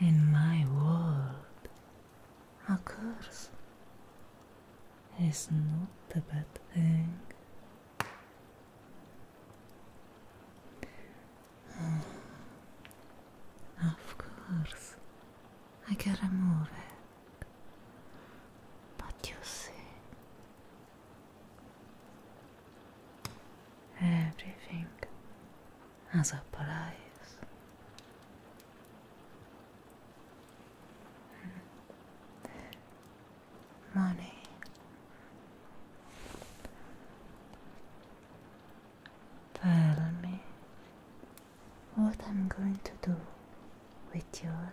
in my world occurs is not a bad thing. Oh, of course, I can remove it, but you see. Everything as a prize. Hmm. Money. Tell me what I'm going to do with your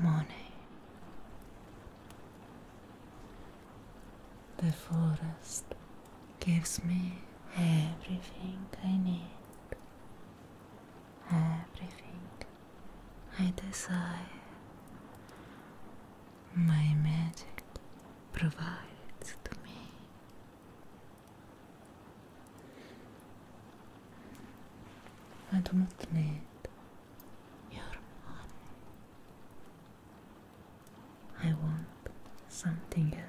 money. The forest gives me everything I need, everything I desire. My magic provides to me. I do not need your money. I want something else.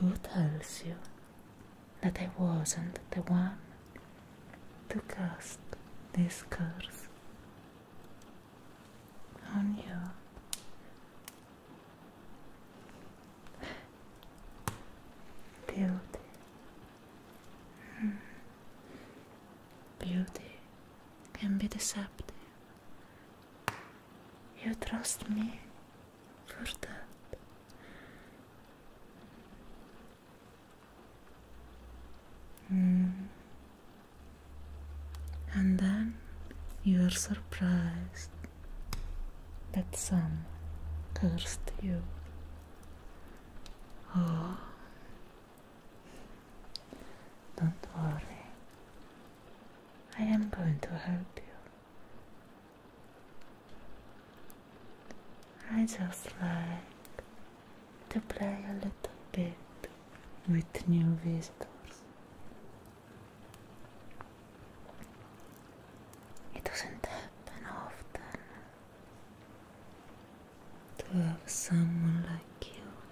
Who tells you that I wasn't the one to cast this curse on you? Beauty. Hmm. Beauty can be deceptive you trust me for that. Mm. And then you are surprised that some cursed you. Oh, don't worry, I am going to help you. I just like to play a little bit with new visitors. It doesn't happen often to have someone like you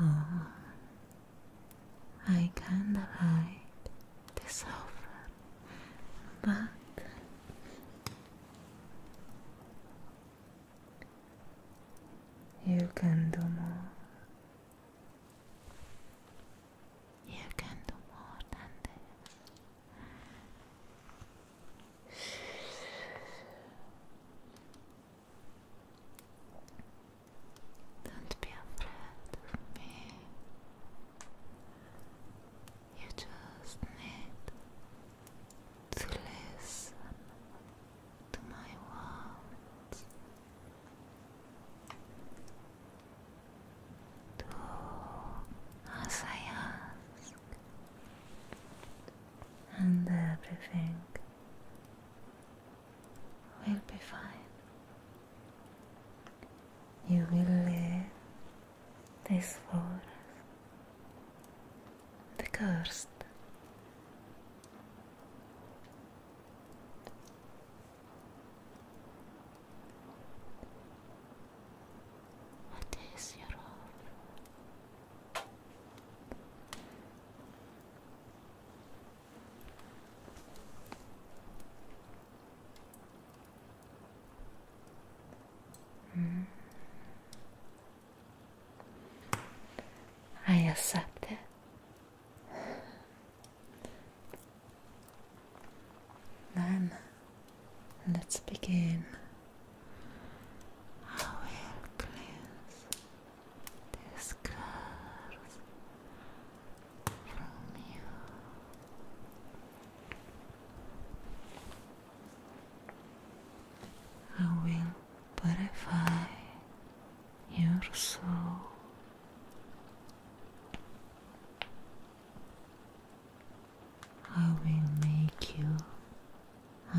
Oh, I can't ride this over, but you can do more. You can do more than this. Don't be afraid of me. You just need to listen to my words. Do as I and everything will be fine. You will live this forest, the cursed. What is your home? Mm. I accept it. Then let's begin. I will cleanse this curse from you. I will purify your soul. I will make you a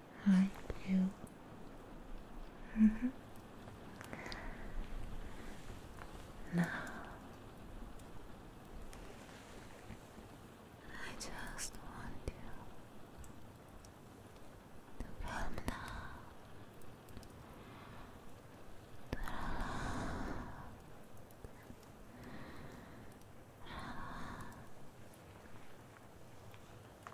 aren't you? Mm mm-hmm. Now, I just want you to calm down,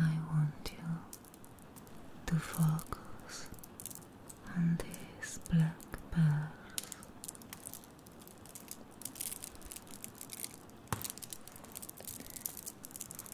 I want you to focus on these black pearls.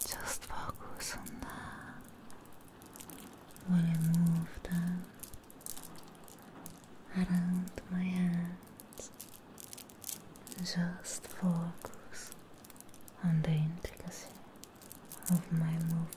Just focus on that while I move them around my hands. Just focus on the intricacy of my movement.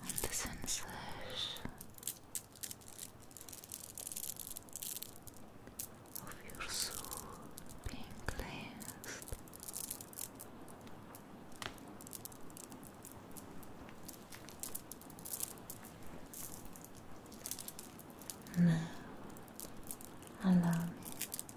on the sensors. Of oh, your soul being cleansed. Now, allow me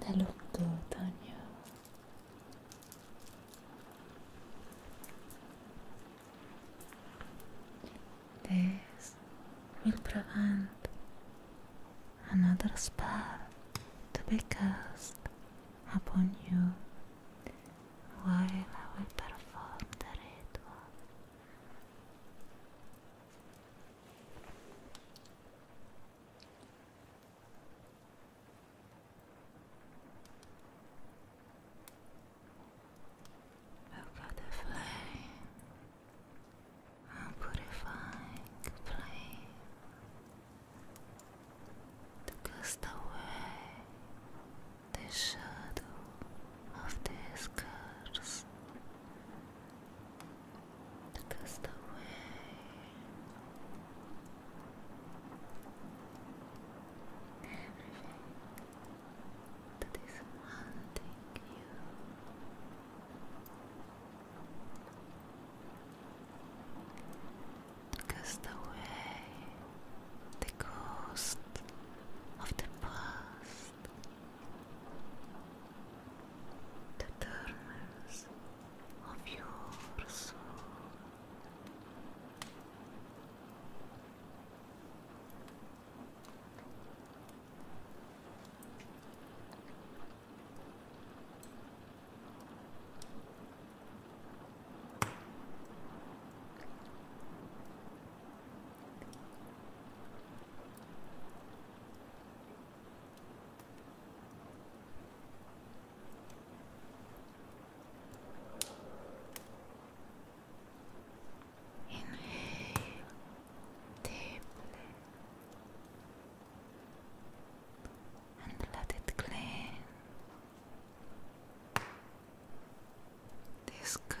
They look good on you. This will prevent another spell to be cast upon you while I perform the ritual. I've got the flame. I'm purifying flame to cast away the shadow of this curse Look the way. Everything that is wanting you. Because the way, the ghost of the past the terms of your soul. Inhale deeply and let it clean. This curse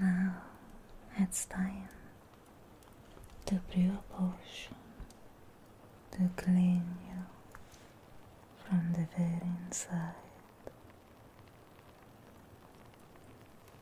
Now it's time to brew a potion to clean you from the very inside.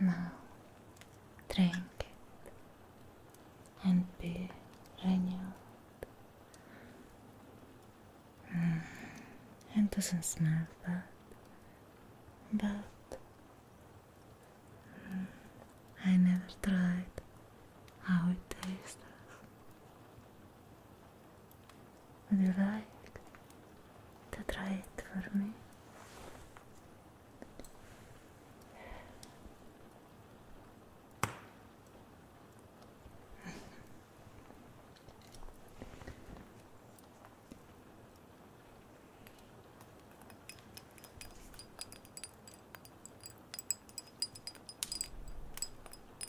Now drink it and be renewed. Mm, it doesn't smell bad, but mm, I never tried how it tastes. Would you like to try it for me?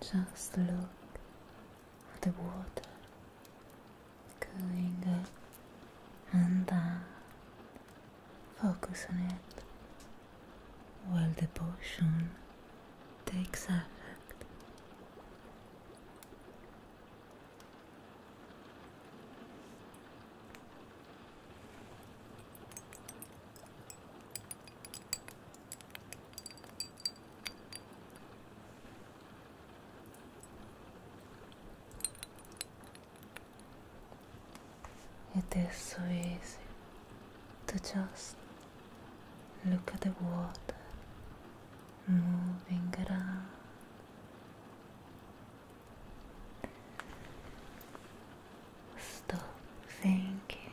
Just look at the water going up and down. Focus on it while the potion takes effect. It is so easy to just look at the water moving around. Stop thinking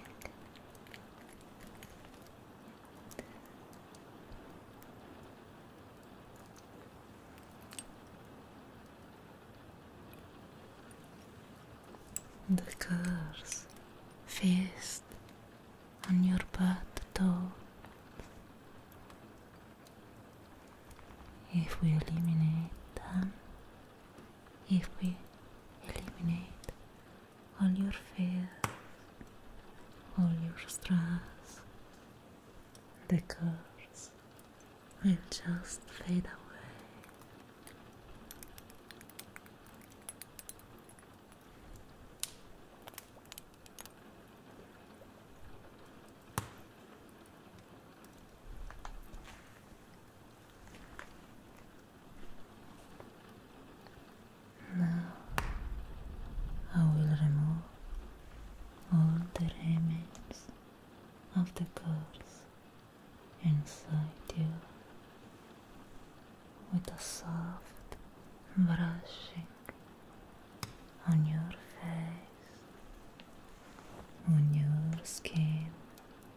the curse feast on your birth door. If we eliminate them, if we eliminate all your fears, all your stress, the curse will just fade away. Now I will remove all the remains of the curse inside you with a soft brushing on your face, on your skin.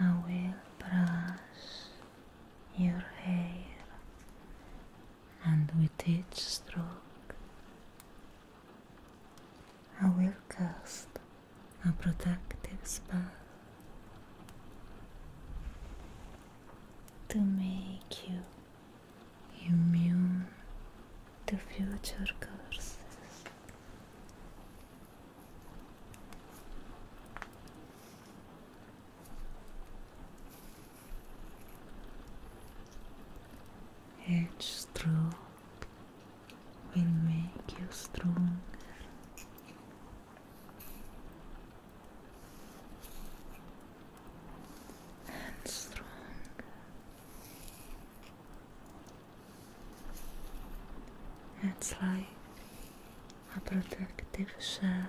Now I will brush your hair, and with each stroke, I will cast a protective spell to make you immune to future curses. Each stroke will make you stronger. And stronger. It's like a protective shell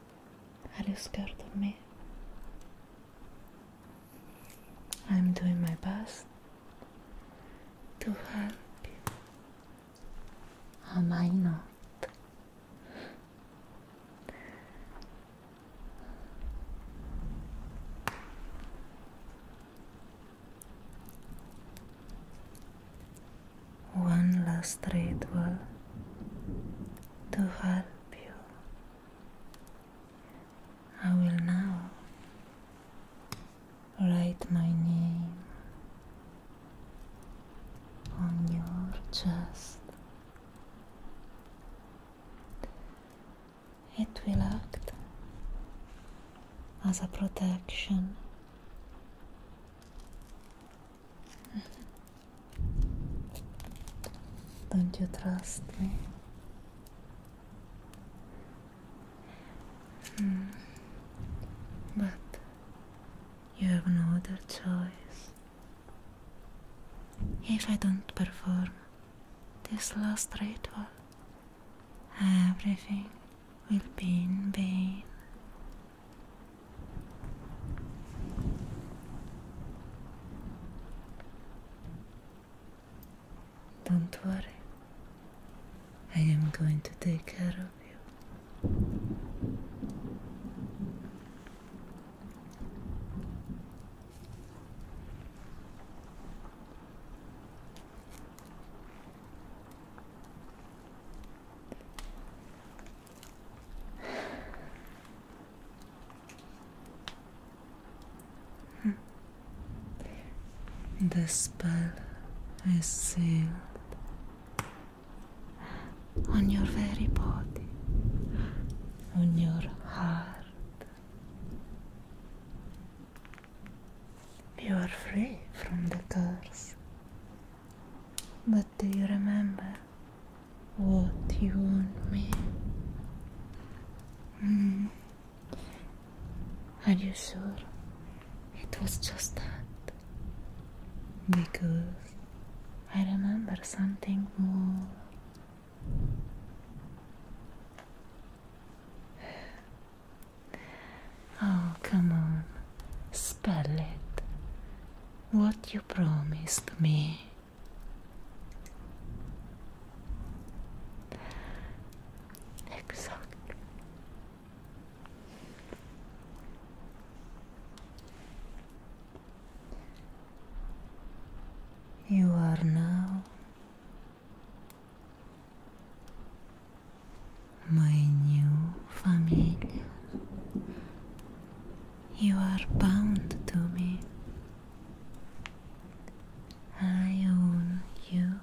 Are you scared of me? I'm doing my best to help you. Am I not? One last ritual to help I will now write my name on your chest. It will act as a protection Mm-hmm. Don't you trust me? Mm. But you have no other choice. If I don't perform this last ritual, everything will be in vain. Don't worry, I am going to take care of you. Hmm. The spell is sealed on your very body, on your heart. You are free from the curse. But do you remember what do you want me? Are you sure? It was just that. Because I remember something more. Oh, come on. Spell it. What you promised me. Exact. You are now my new family. You are bound to me. I own you.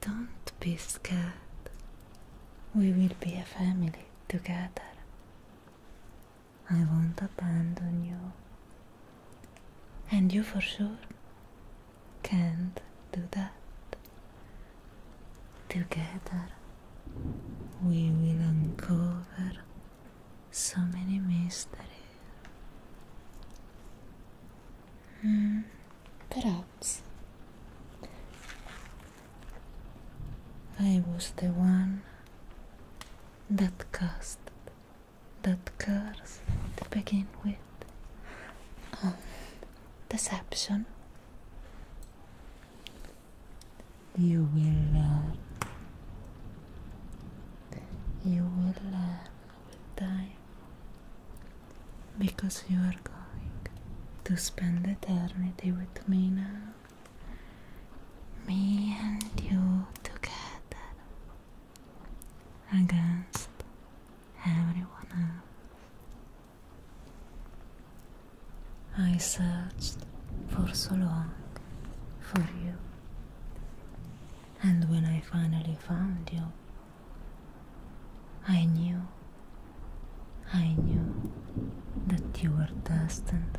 Don't be scared. We will be a family together. I won't abandon you. And you for sure can't do that. Together we will uncover so many mysteries. Mm, perhaps I was the one that cast that curse to begin with. Um, deception you will love. you will uh, will uh, because you are going to spend eternity with me now me and you together against everyone else I searched for so long for you, and when I finally found you, I knew, I knew that you were destined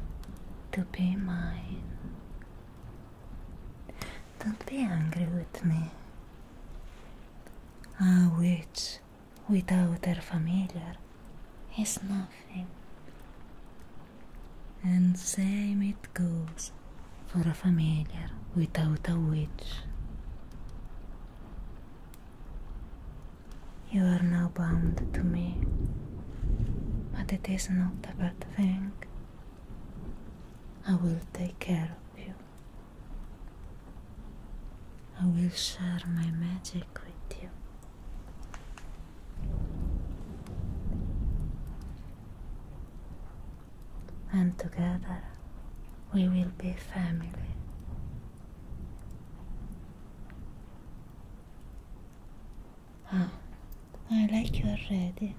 to be mine. Don't be angry with me. Ah, witch without her familiar is nothing. And same it goes for a familiar without a witch. You are now bound to me, but it is not a bad thing. I will take care of you. I will share my magic and together we will be family. I like you already.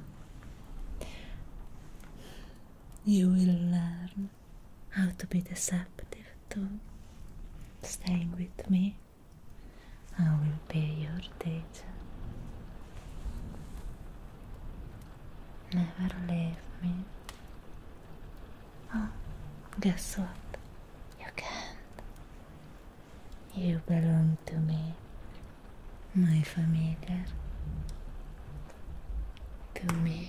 You will learn how to be deceptive? to staying with me. I will pay your debt. Never leave me. Oh, guess what? You can't. You belong to me, my familiar. To me,